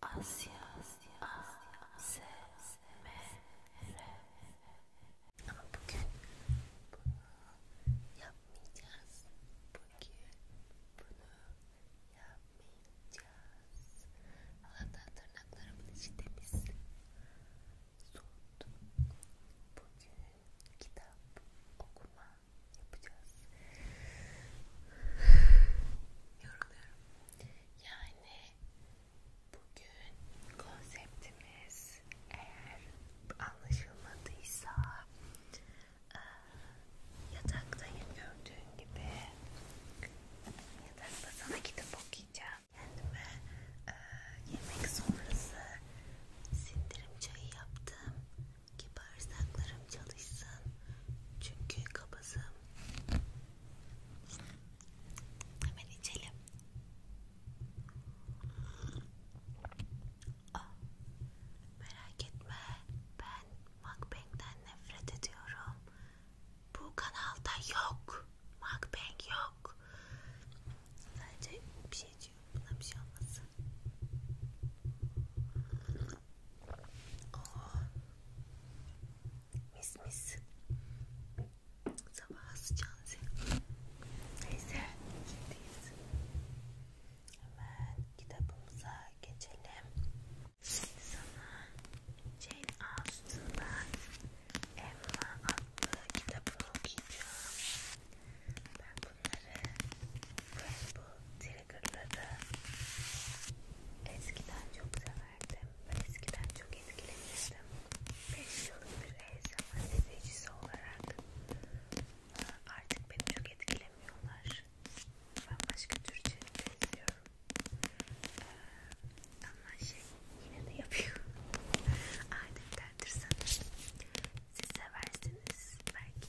Asya, Asya, Asya, S, M, R. Ama bugün bunu yapmayacağız. Bugün bunu yapmayacağız. Allah'tan tırnaklarımın içi temiz. Soğuttu. Bugün kitap okuma yapacağız. Yoruluyorum. Yani bugün konseptimiz eğer anlaşılmadıysa yataktayım gördüğün gibi yatakta sana kitap okuyacağım. Kendime e, yemek sonrası sindirim çayı yaptım ki bağırsaklarım çalışsın. Çünkü kabızım Hemen içelim. Aa, ah, merak etme, ben mukbang'den nefret ediyorum. Bu kanalda yok, mukbang yok. Sadece bir şey diyor, buna bir şey olmasın. Oo. Oh. Mis mis. Sabah sıcağın Neyse gittiyiz. Hemen kitabımıza geçelim. Sana Jane Austen'dan Emma adlı kitabını okuyacağım. Ben bunları Rainbow Trigger'ları eskiden çok severdim verdim. Ben eskiden çok etkilenirdim. 5 yıllık bir ASMR izleyicisi olarak artık beni çok etkilemiyorlar. Ben başka tür içerikler izliyorum. Ee, ama şey yine de yapıyorum. Adettendir sanırım. Siz seversiniz belki.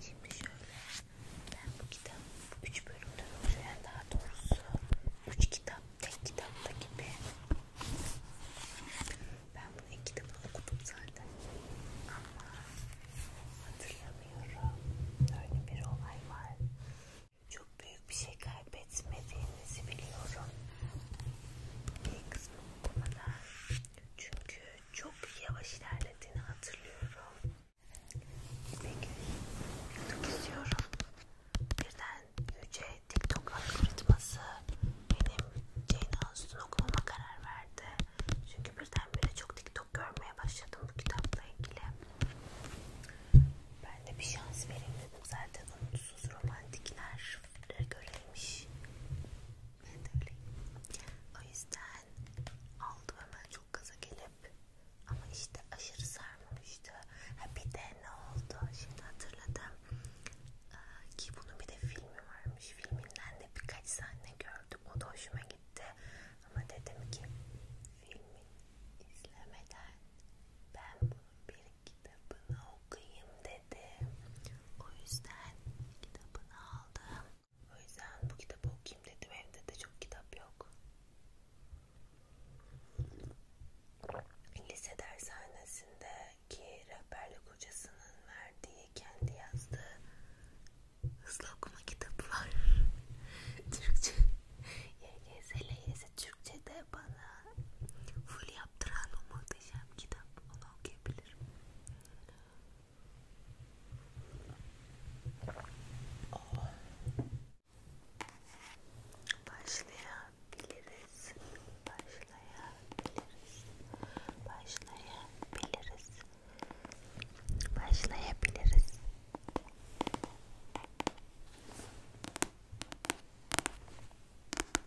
Şimdi şöyle ben bu kitap bu üç bölümden oluşan daha doğrusu üç kitap tek kitapta gibi ben bunu ilk kitabını okudum zaten ama hatırlamıyorum öyle bir olay var çok büyük bir şey kaybettim kaybetmediğinizi biliyorum. Bir kısmı bu kadar. Çünkü çok yavaş ilerlediğini hatırlıyorum. Peki, TikTok istiyorum. Birden yüce TikTok algoritması benim Ceyna Üstün okumama karar verdi. Çünkü birdenbire çok TikTok görmeye başladım bu kitapla ilgili. Ben de bir şans vereyim dedim. Zaten umutsuz romantikler şunları göreymiş. Ben de öyleyim. O yüzden aldım hemen çok gaza gelip ama işte aşırı sarmamıştı. Ha bir de ne oldu? Şimdi hatırladım. Ee, ki bunun bir de filmi varmış. Filminden de birkaç sahne gördüm. O da hoşuma gitti. Ama dedim ki filmi izlemeden ben bunun bir kitabını okuyayım dedim istedi. O yüzden kitabını aldım. O yüzden bu kitabı okuyayım dedim. Evde de çok kitap yok. Lise dershanesindeki rehberlik hocasının verdiği kendi yazdığı hızlı okuma kitabı var. Türkçe YGS, LYS Türkçe'de bana full yaptıran o muhteşem kitap onu okuyabilirim. Oh. Başlayabiliriz. Başlayabiliriz. Başlayabiliriz. Başlayabiliriz.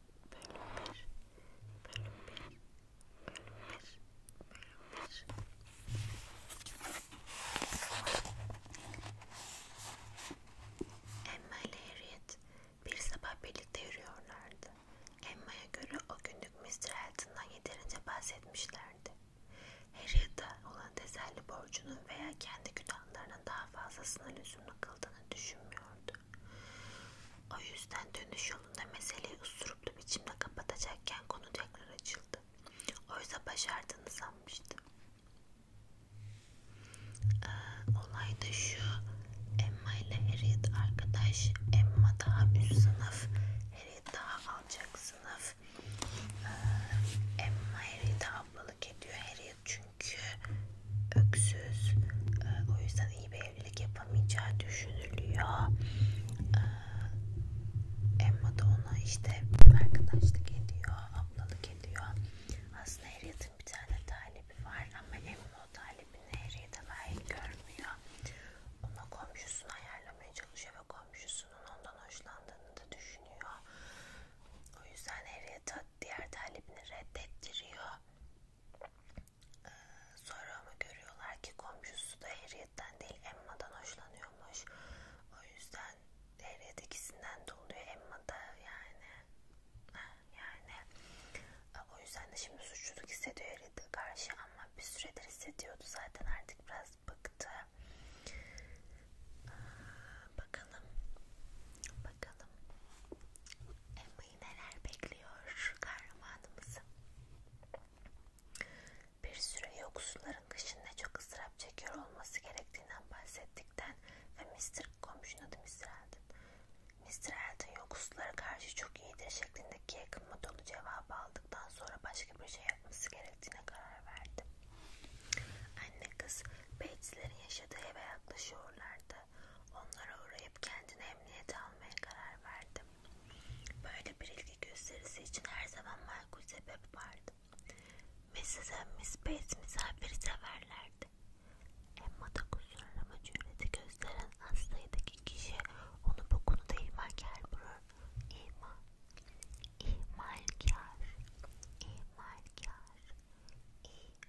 Emma ile Harriet bir sabah birlikte yürüyorlardı. Emma'ya göre o günlük Mr. Elton'dan yeterince bahsetmişlerdi. Harriet'e olan teselli borcunun veya kendi günahlarının daha fazlasına lüzumlu kıldığını düşünmüyordu düşmüştü. O yüzden dönüş yolunda meseleyi usturuplu biçimde kapatacakken konu tekrar açıldı. Oysa başardığını sanmıştı. Ee, olay da şu. Emma ile Harriet arkadaş. Emma daha üst sınıf. Harriet daha alçak sınıf. Ee, Emma Harriet'e ablalık ediyor. Harriet çünkü öksüz e, o yüzden iyi bir evlilik yapamayacağı düşünülüyor e, Emma da ona işte arkadaşlık ediyor ablalık ediyor aslında Harriet'in bir tane talebi var ama Emma o talebini Harriet'e layık görmüyor ona komşusunu ayarlamaya çalışıyor ve komşusunun ondan hoşlandığını da düşünüyor o yüzden Harriet'e diğer talebini reddettiriyor ee, sonra ama görüyorlar ki komşusu da Harriet'ten değil Emma'dan hoşlanıyormuş. O yüzden Harriet ikisinden de oluyor Emma'da yani. Yani ee, o yüzden de şimdi suçluluk hissediyor Harriet'e karşı ama bir süredir hissediyordu zaten artık biraz bıktı. Ee, bakalım. Bakalım. Bakalım neler bekliyor kahramanımızı. Bir süre yoksulların kışında çok ıstırap çekiyor olması gerektiğinden bahsettikten ve Mr. komşunun adı Mr. Eldon. Mr. Eldon yoksullara karşı çok iyidir şeklindeki yakınma dolu cevabı aldıktan sonra başka bir şey yapması gerektiğine karar verdi. Anne kız Bates'lerin yaşadığı eve yaklaşıyorlardı. Onlara uğrayıp kendini emniyete almaya karar verdim. Böyle bir ilgi gösterisi için her zaman makul sebep vardı. Mrs. and Miss Bates misafiri severlerdi. Emma da kusurlama cüreti gösteren hastaydıki kişi onu bu konuda ilmahkar bulur. İma, ihmalkar, ihmalkar, ihmalkar.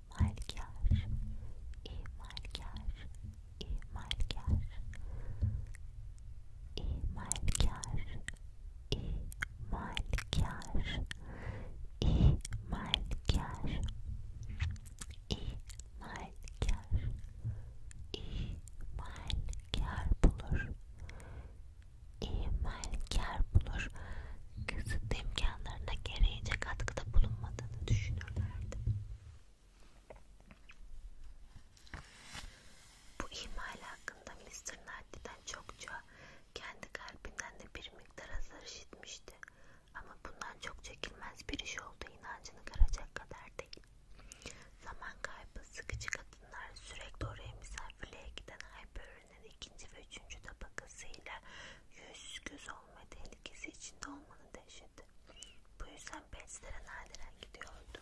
İmalkar, İmalkar, İmalkar, İmalkar, İmalkar, İmalkar, İmalkar, İmalkar bulur, İmalkar bulur. Kısıtlı imkanlarına gereğince katkıda bulunmadığını düşünürlerdi. Bu ihmal hakkında Mr. Knightley'den çokça kendi kalbinden de bir miktar azar işitmişti. Ama bundan çok çekilmez bir iş oldu inancını kıracak kadar değil. Zaman kaybı sıkıcı kadınlar sürekli oraya misafirliğe giden Hyperion'un ikinci ve üçüncü tabakasıyla yüz göz olma tehlikesi içinde olmanın dehşeti geçirdi. Bu yüzden Pets'lere nadiren gidiyordu.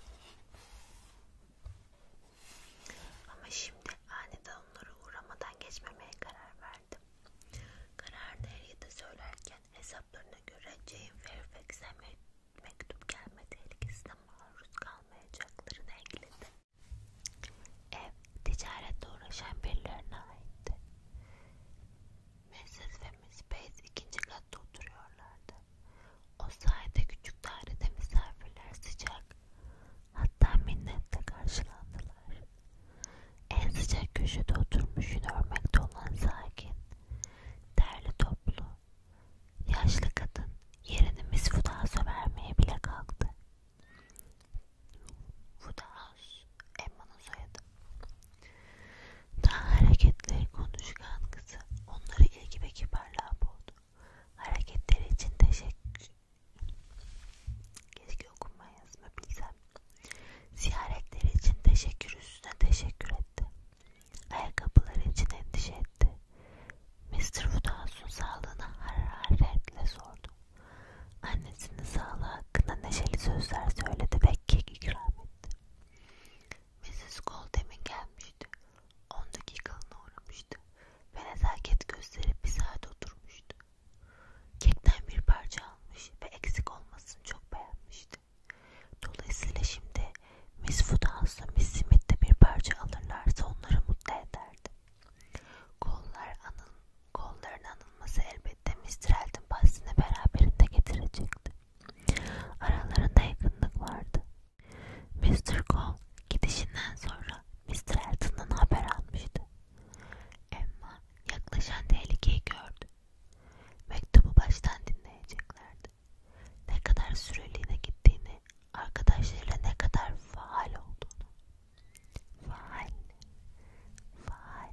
Ama şimdi aniden onlara uğramadan geçmemeye karar verdim. Kararını Harriet'e söylerken hesaplarına göre Jane Fairfax'e me mektup gelme tehlikesine maruz kalmayacaklarını ekledi. Ev ticaretle uğraşan birilerine aitti. Mrs. ve Miss Bates ikinci katta oturuyorlardı. O sayede küçük dairede misafirler sıcak, hatta minnetle karşılandılar. En sıcak köşede oturmuş yine örmekte olan sakin, derli toplu, yaşlı kadın yerini Miss Woodhouse'a vermeye bile kalktı. Woodhouse Yunus, Emma'nın soyadı. Daha hareketleri konuşkan kızı onları ilgi ve kibarlığa boğdu. Hareketleri için teşekkür. Keşke okuma yazma bilsem. Ziyaretleri için teşekkür üstüne teşekkür etti. Ayakkabıları için endişe etti. Mr. Woodhouse'un sağlığına hararetle sordu. Annesinin sağlığa hakkında neşeli sözler söyledi ve kek ikram etti. Mrs. Goldem'in gelmişti. 10 dakikalığına uğramıştı ve nezaket gösterip bir saat oturmuştu. Kekten bir parça almış ve eksik olmasını çok beğenmişti. Dolayısıyla şimdi Miss Woodhouse'la Miss Smith'te bir parça alırlarsa onları mutlu ederdi. Kollar anıl, kolların anılması elbette elbette Mr. Elton bahsini beraberinde getirecekti. Aralarında yakınlık vardı. Mr. Cole gidişinden sonra Mr. Elton'dan haber almıştı. Emma yaklaşan tehlikeyi gördü. Mektubu baştan dinleyeceklerdi. Ne kadar süreliğine gittiğini, arkadaşlarıyla ne kadar faal olduğunu. Faal, faal,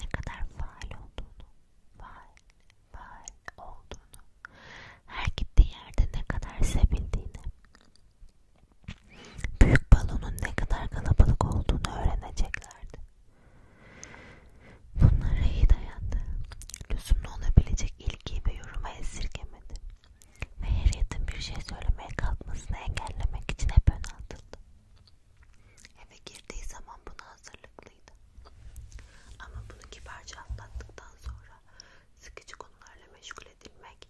ne kadar faal olduğunu, faal, faal olduğunu, her gittiği yerde ne kadar sevildiğini, büyük balonun ne kadar kalabalık olduğunu öğreneceklerdi. Bunlara iyi dayandı. Lüzumlu olabilecek ilgi ve yoruma esirgemedi. Ve Harriet'in bir şey söylemeye kalkmasını engellemek için hep ön atıldı. Eve girdiği zaman buna hazırlıklıydı. Ama bunu kibarca atlattıktan sonra sıkıcı konularla meşgul edilmek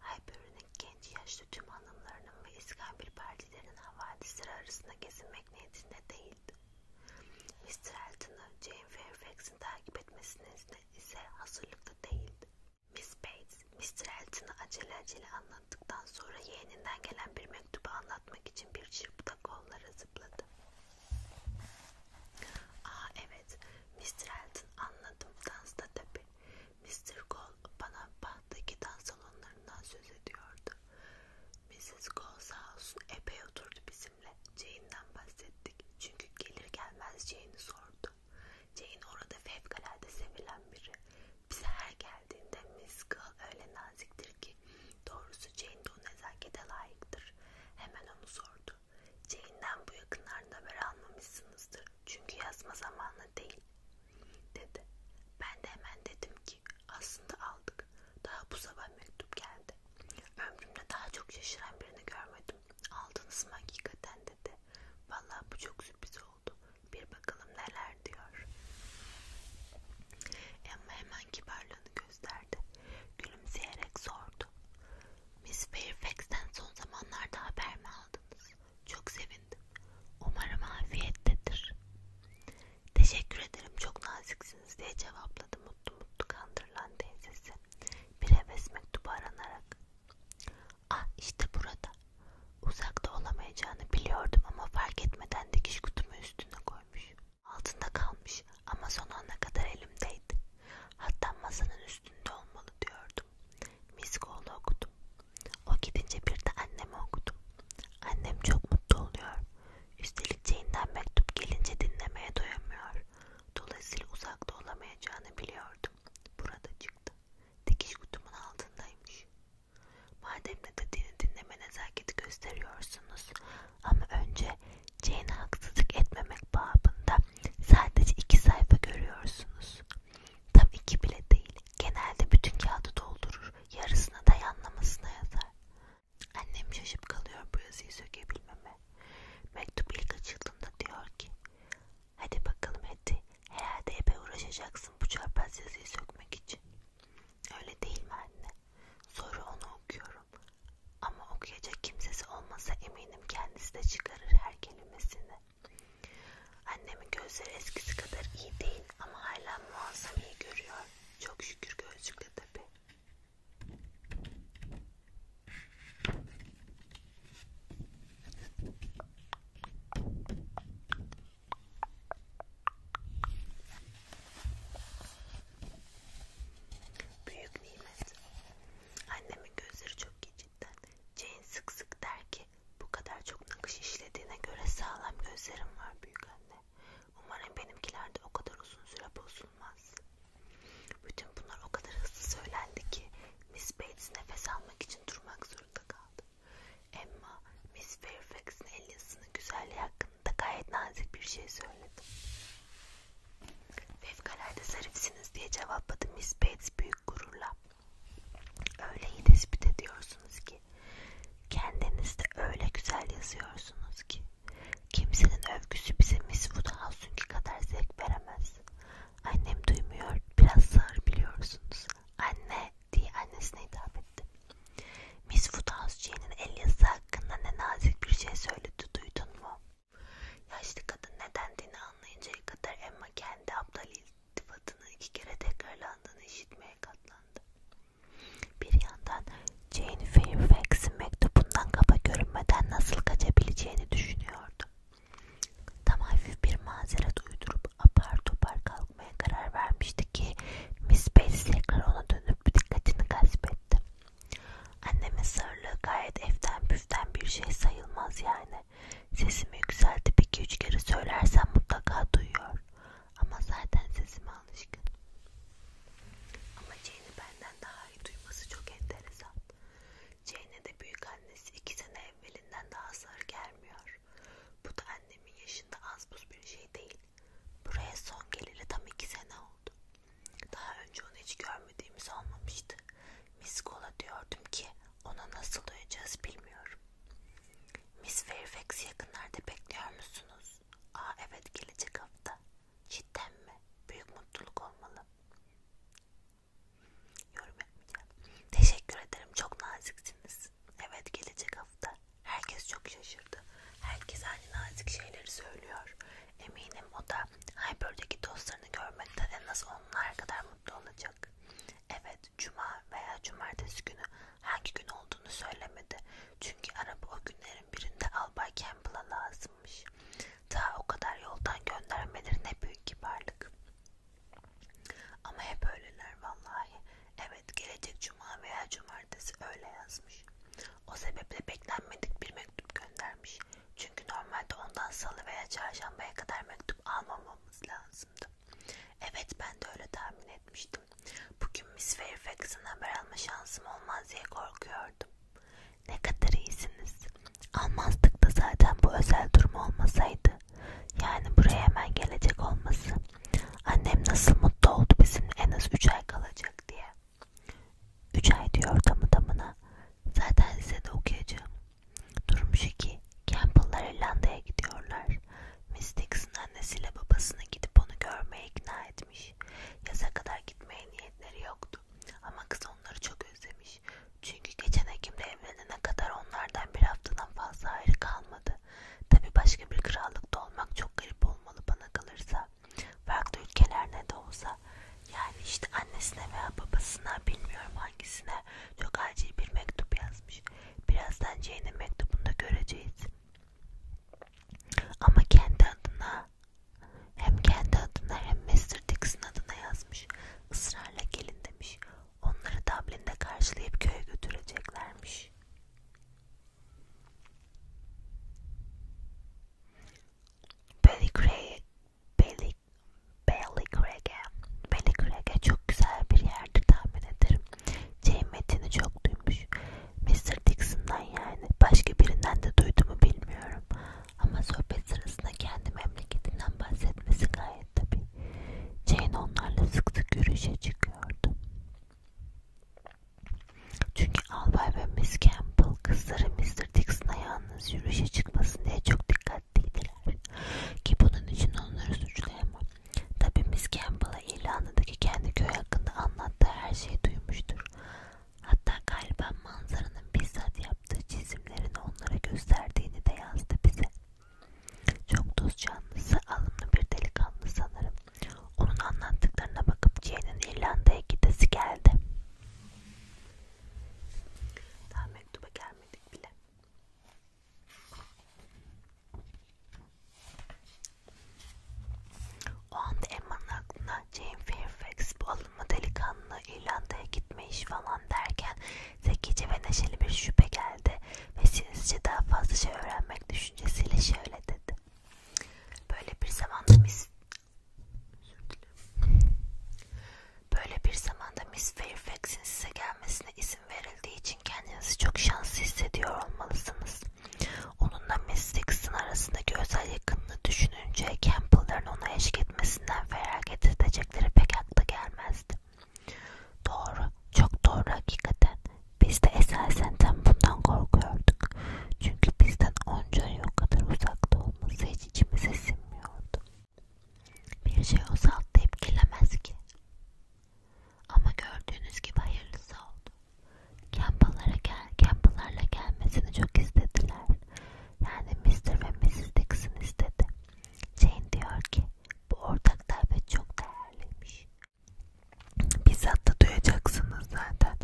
Hyperion'un genç yaşlı tüm hanımlarının ve iskambil partilerin havadisleri arasında gezinmek niyetinde değildi. Mr. Elton'ı Jane Fairfax'in takip etmesine ise hazırlıklı değildi. Miss Bates, Mr. Elton'ı acele acele anlattıktan sonra yeğeninden gelen bir mektubu anlatmak için bir çırpıda kollara zıpladı. Aa evet, Mr. Elton anladım, dansta tabi. Mr. Cole bana bahtaki dans salonlarından söz ediyordu. Mrs. Cole sağ olsun epey oturdu bizimle. Jane'den bahsettik çünkü gelir gelmez Jane'i sordu. Jane orada fevkalade sevilen biri. Bize her geldiğinde Miss Girl öyle naziktir ki doğrusu Jane de o nezakete layıktır. Hemen onu sordu. Jane'den bu yakınlarda haber almamışsınızdır. Çünkü yazma zamanı değil dedi. Ben de hemen dedim ki aslında aldık. Daha bu sabah mektup geldi. Ömrümde daha çok şaşıran birini görmedim. Aldınız mı hakikaten dedi. Vallahi bu çok sürpriz oldu. Bir bakalım neler diyor. Emma hemen kibarlığını gösterdi. Gülümseyerek sordu. Miss Fairfax'ten son zamanlarda haber mi aldınız? Çok sevindim. Umarım afiyettedir. Teşekkür ederim çok naziksiniz diye cevapladı mutlu mutlu kandırılan teyzesi. Bir heves mektubu aranarak. Ah işte burada. Uzakta olamayacağını biliyordum ama fark etmeden dikiş kutumu üstüne koymuş. Altında kalmış ama son ana kadar elimdeydi. Hatta masanın üstünde olmalı diyordum. Miskoğlu okudum. O gidince bir de annemi okudum. Annem çok mutlu oluyor. Üstelik Jane'den mektup gelince dinlemeye doyamıyor. Dolayısıyla uzakta olamayacağını biliyordum. Burada çıktı. Dikiş kutumun altındaymış. Madem ne dediğini dinleme nezaketi gösteriyorsunuz ama önce Jane'e haksızlık etmemek babında sadece iki sayfa görüyorsunuz. Tam iki bile değil. Genelde bütün kağıdı doldurur. Yarısına da yanlamasına yazar. Annem şaşıp kalıyor bu yazıyı sökebilmeme. Mektup ilk açıldığında diyor ki Hadi bakalım Hedi. Herhalde epey uğraşacaksın bu çarpaz yazıyı sökmek için. Öyle değil mi anne? Soru onu okuyorum. Ama okuyacak kimsesi olmasa eminim kendisi de çıkarır her kelimesini. Annemin gözleri eskisi kadar iyi değil ama hala muazzam iyi görüyor. Çok şükür gözlükle tabi. Büyük nimet. Annemin gözleri çok iyi cidden. Jane sık sık der ki bu kadar çok nakış işlediğine göre sağlam gözlerim var büyük anne. Umarım benimkiler de o kadar uzun süre bozulmaz. Bütün bunlar o kadar hızlı söylendi ki Miss Bates nefes almak için durmak zorunda kaldı. Emma Miss Fairfax'ın Alice'ın güzelliği hakkında gayet nazik bir şey söyledi. Fevkalade zarifsiniz diye cevapladı Miss Bates büyük gururla. Öyle iyi tespit ediyorsunuz ki, kendinizde öyle güzel yazıyorsunuz ki, kimsenin övgüsü bize Miss Woodhouse'unki kadar zevk veremez. Annem duymuyor, biraz sağır biliyorsunuz. Anne diye annesine hitap etti. Miss Woodhouse-Jane'in el yazısı hakkında ne nazik bir şey söyledi duydun mu? Yaşlı kadın ne dendiğini anlayıncaya kadar Emma kendi aptal iltifatını iki kere tekrarlandığını işitmeye katlandı. Bir yandan Jane Fairfax'in mektubundan kaba görünmeden nasıl kaçabileceğini düşünüyordu. Tam hafif bir mazeret uydurup apar topar kalkıyordu bakmaya karar vermişti ki Miss Bates tekrar ona dönüp dikkatini gasp etti. Annemin sırlığı gayet eften püften bir şey sayılmaz yani. Sesimi yükseltip iki üç kere söylersem mutlaka duyuyor. Ama zaten sesime alışkın. Ama Jane'i benden daha iyi duyması çok enteresan. Jane'e de büyük annesi iki sene evvelinden daha zar gelmiyor olur. Bu da annemin yaşında az buz bir şey değil. Buraya son geleli tam iki sene oldu. Daha önce onu hiç görmediğimiz olmamıştı. Miss Gola diyordum ki ona nasıl duyacağız bilmiyorum. Miss Fairfax yakınlarda bekliyor musunuz? Aa evet gelecek hafta. Cidden mi? Büyük mutluluk olmalı. Yorum yapmayacağım. Teşekkür ederim çok naziksiniz. Evet gelecek hafta. Herkes çok şaşırdı. Herkes aynı nazik şeyleri söylüyor. Eminim o da Hyper'deki dostlarını görmekten en az onlar kadar mutlu olacak. Evet, cuma veya cumartesi günü hangi gün olduğunu söylemedi. Çünkü araba o günlerin birinde Albay Campbell'a lazımmış. Daha o kadar yoldan göndermeleri ne büyük kibarlık. Ama hep öyleler vallahi. Evet Evet gelecek cuma veya cumartesi öyle yazmış. O sebeple beklenmedik bir mektup göndermiş. Çünkü normalde ondan salı veya çarşambaya kadar mektup almamamız lazımdı. Evet ben de öyle tahmin etmiştim. Bugün Miss Fairfax'ın haber alma şansım olmaz diye korkuyordum. Ne kadar iyisiniz. Almazdık da zaten bu özel durum olmasaydı. Yani buraya hemen gelecek olması. Annem nasıl mutlu oldu bizim en az 3 ay kalacak diye. 3 ay diyor tamı tamına. Zaten lisede okuyacağım. Durum şu ki Campbell'lar İrlanda'ya gidiyorlar. Miss Dixon annesiyle babasını gidip onu görmeye ikna etmiş. Yaza kadar gitmeye niyetleri yoktu. Ama kız onları çok özlemiş. Çünkü geçen Ekim'de evlenene kadar onlardan bir haftadan fazla ayrı kalmadı yanıtladı. Tabi başka bir krallıkta olmak çok garip olmalı bana kalırsa. Farklı ülkeler ne de olsa. Yani işte annesine veya babasına bilmiyorum hangisine çok acil bir mektup yazmış. Birazdan Jane'in mektubunda göreceğiz. Ama kendi adına hem kendi adına hem Mr. Dixon adına yazmış. Israrla gelin demiş. Onları Dublin'de karşılayıp köye götüreceklermiş. Bellikrege Bellikrege çok güzel bir yerdir tahmin ederim. Ceymet'ini çok duymuş. Mr. Dixon'dan yani. Başka birinden de duyduğumu bilmiyorum. Ama sohbet sırasında kendi memleketinden bahsetmesi gayet tabi. Jane onlarla sık sık yürüyüşe çıkıyordu. Çünkü albay ve Miss Campbell kızları Mr. Dixon'a yalnız yürüyüşe çıkmasın diye çok dikkatliydiler. Ki bunun için onları suçlayamam. Tabi Miss Campbell'a İrlanda'daki kendi köy hakkında anlattığı her şeyi duymuştur. Hatta galiba manzaranın bizzat yaptığı çizimlerini onlara gösterdiğini de yazdı bize. Çok dost canlısı, alımlı bir delikanlı sanırım. Onun anlattıklarına bakıp Jane'in İrlanda'ya gidesi geldi. Daha mektuba gelmedik bile. O anda Emma'nın aklına Jane Fairfax bu alımlı delikanlı İrlanda'ya gitmiş falan derken zekice ve neşeli bir şüphe geldi ve sinizce daha fazla şey öğrenmek düşüncesiyle şöyle dedi. Böyle bir zamanda mis Böyle bir zamanda Miss Fairfax'in size gelmesine izin verildiği için kendinizi çok şanslı hissediyor olmalısınız. Onunla Miss Dixon arasındaki özel yakınlığı düşününce Campbell'ların ona eşlik etmesinden feragat edecekleri pek akla gelmezdi. Doğru, çok doğru hakikaten. Biz de esasen tam bundan korkuyorduk. Çünkü bizden onca yol kadar uzakta olması hiç içimize sinmiyordu. Bir şey o salt tepkilemez ki. Ama gördüğünüz gibi hayırlısı oldu. Campbell'lara gel, Campbell'larla gelmesini çok istediler. Yani Mr. ve Mrs. Dixon istedi. Jane diyor ki bu ortak davet çok değerliymiş. Bizzat da duyacaksınız zaten.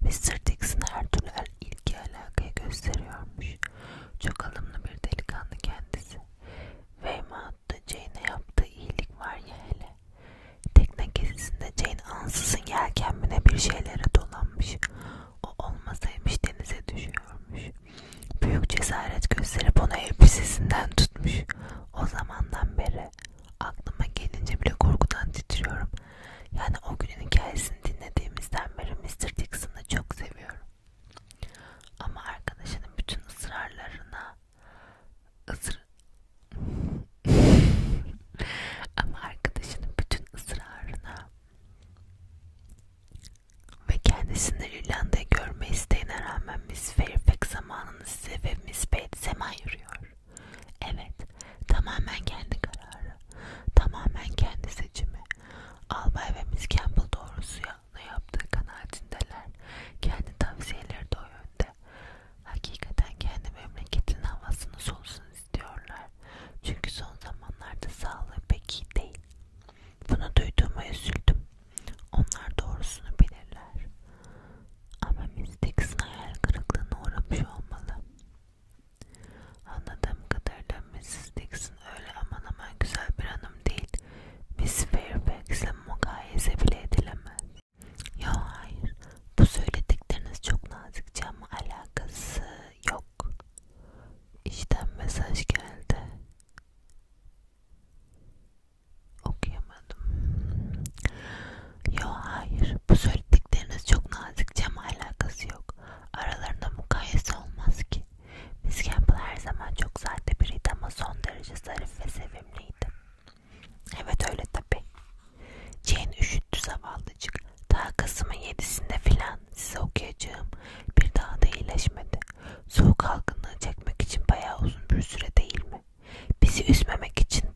Mr. Dixon her türlü ilgi alakaya gösteriyormuş. Çok alımlı bir delikanlı kendisi. Weymouth'ta Jane'e yaptığı iyilik var ya hele. Tekne gezisinde Jane ansızın yelkenmine bir şeylere dolanmış. O olmasaymış denize düşüyormuş. Büyük cesaret gösterip onu elbisesinden tutmuş. O zamandan beri hikayesi aklıma gelince bile korkudan titriyorum. Yani o günün hikayesini dinlediğimizden beri Mr. Dixon'ı çok seviyorum. Ama arkadaşının bütün ısrarlarına ısır... Ama arkadaşının bütün ısrarına ve kendisini İrlanda'ya görme isteğine rağmen Miss Fairfax zamanını size ve Miss Bates'e mahir duruyor. Evet, tamamen kendi kararı, tamamen kendi seçimi. Albay ve Miss Campbell doğrusuya ne yaptığı kanaatindeler. Kendi tavsiyeleri de o yönde. Hakikaten kendi memleketin havasını solusun istiyorlar. Çünkü son zamanlarda sağlığı pek iyi değil. Bunu duyduğuma üzüldüm. Onlar doğrusunu bilirler. Ama Mystics'in hayal kırıklığına uğramış olmalı. Anladığım kadarıyla Mrs. Dixon öyle aman aman güzel bir hanım değil. Miss Fairfax'le mukayese bile edilemez. Yo hayır, bu söyledikleriniz çok nazikçe ama alakası yok. İşten mesaj geldi okuyamadım. Yo hayır bu söyledikleriniz çok nazikçe ama alakası yok. Aralarında mukayese olmaz ki. Miss Campbell her zaman çok sade biriydi ama son derece zarif ve sevimliydi. Evet öyle tabi. Jane üşüttü zavallıcık. Daha Kasım'ın yedisinde filan size okuyacağım. Bir daha da iyileşmedi. Soğuk algınlığı çekmek için bayağı uzun bir süre değil mi? Bizi üzmemek için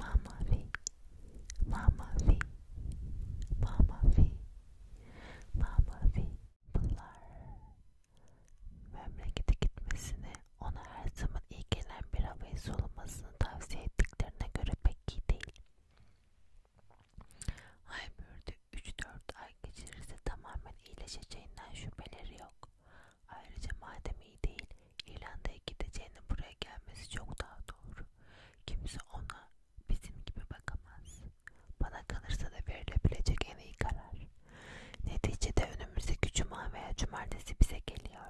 Mamavi, mamavi, mamavi, mamavi pınar. Memlekete gitmesini, ona her zaman iyi gelen bir havayı solumasını tavsiye ettiklerine göre pek iyi değil. Haybur'da 3-4 ay geçirirse tamamen iyileşeceğinden şüpheleri yok. Ayrıca madem iyi değil, İrlanda'ya gideceğine buraya gelmesi çok daha doğru. Kimse ona bizim gibi bakamaz. Bana kalırsa da verilebilecek en iyi karar. Neticede önümüzdeki cuma veya cumartesi bize geliyor.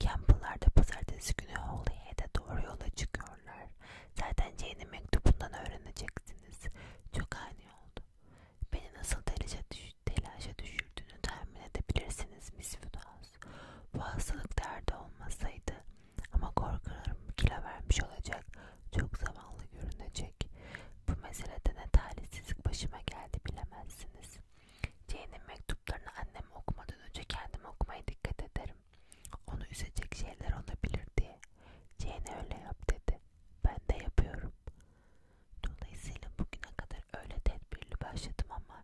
Campbell'lar da pazartesi günü Holyhead'e doğru yola çıkıyorlar. Zaten Jane'in mektubundan öğreneceksiniz. Çok ani oldu. Beni nasıl telaşa, düş telaşa düşürdüğünü tahmin edebilirsiniz Miss Woodhouse biliyorsunuz. Bu hastalık derdi olmasaydı ama korkularım kilo vermiş olacak, çok zavallı görünecek. Bu meselede ne talihsizlik başıma geldi bilemezsiniz. Jane'in mektuplarını annem okumadan önce kendim okumaya dikkat ederim. Onu üzecek şeyler olabilir diye. Jane öyle yap dedi. Ben de yapıyorum. Dolayısıyla bugüne kadar öyle tedbirli başladım ama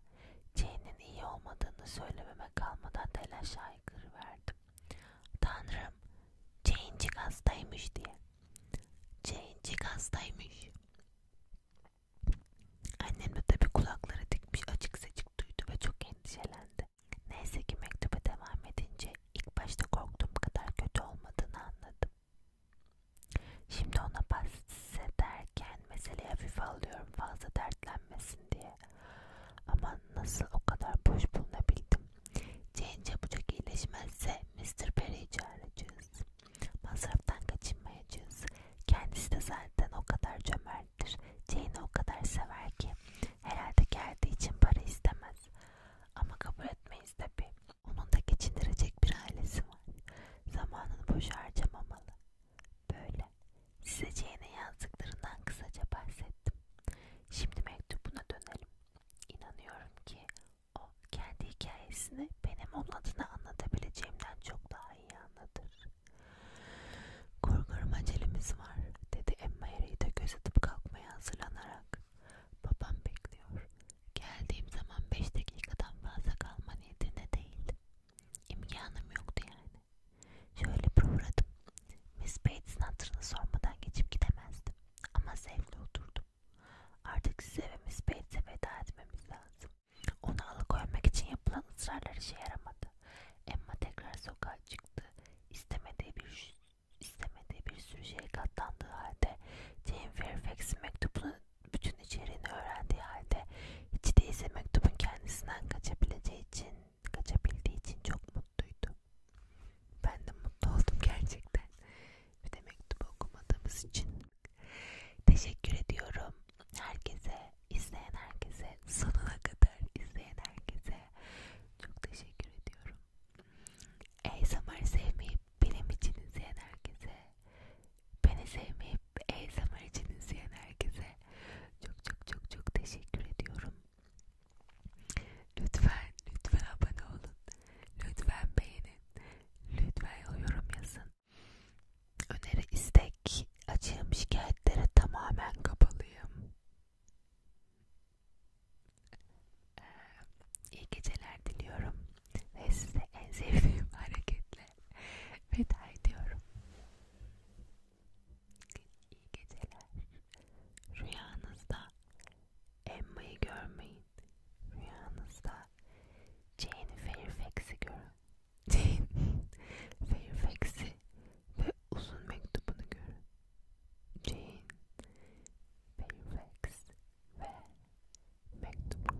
Jane'in iyi olmadığını söylememe kalmadan telaşa aykırı verdim. Tanrım, Jane'cik hastaymış diye. Jane'cik hastaymış. Annem de tabi kulakları dikmiş açık seçik duydu ve çok endişelendi. Neyse ki mektube devam edince ilk başta korktuğum kadar kötü olmadığını anladım. Şimdi ona bahsederken meseleyi hafife alıyorum fazla dertlenmesin diye. Ama nasıl o kadar boş bulunabildim. Jane çabucak iyileşmezse Mr. Perry'i çağıracağız. Masraftan kaçınmayacağız. Kendisi de zaten o kadar cömerttir. Jane'i o kadar sever ki herhalde geldiği için para istemez. Ama kabul etmeyiz tabi. Onun da geçindirecek bir ailesi var. Zamanını boş harcamamalı. Böyle size Jane'e yazdıklarından kısaca bahsettim. Şimdi mektubuna dönelim. İnanıyorum ki o kendi hikayesini benim onun adına anlatabileceğimden çok daha iyi anlatır. Korkarım acelemiz var dedi Emma Harry'i de gözetip kalkmaya hazırlanarak. Babam bekliyor. Geldiğim zaman beş dakikadan fazla kalma niyetinde değil. İmkanım yoktu yani kendimi. Şöyle bir uğradım. Miss Bates'in hatırını sormadan geçip gidemezdim. Ama zevkle oturdum. Artık size ve Miss Bates'e veda etmemiz lazım. Onu alıkoymak için yapılan ısrarlar işe yaramadı. Emma tekrar sokağa çıktı. İstemediği bir istemediği bir sürü şeye katlandığı halde Jane Fairfax'in mektubunu bütün bütün içeriğini öğrendiği halde hiç değilse mektubun kendisinden kaçabileceği için, kaçabildiği için çok mutluydu. Ben de mutlu oldum gerçekten. Bir de mektubu okumadığımız için. Teşekkür ediyorum herkese, izleyen herkese, sonuna kadar izleyen herkese çok teşekkür ediyorum. ASMR sevmeyi benim için izleyen herkese Beni sevmeyip ASMR için izleyen herkese çok çok çok çok teşekkür ediyorum. Lütfen lütfen abone olun. Lütfen beğenin. Lütfen yorum yazın. Öneri, istek, acığım, şikayetlere tamamen kapalıyım. Ee, iyi geceler diliyorum ve size en sevdiğim hareketle size veda ediyorum. İyi geceler. Rüyanızda Emma'yı görmeyin. Rüyanızda Jane Fairfax'i görün. Jane Fairfax'i ve uzun mektubunu görün. Jane Fairfax ve mektubu.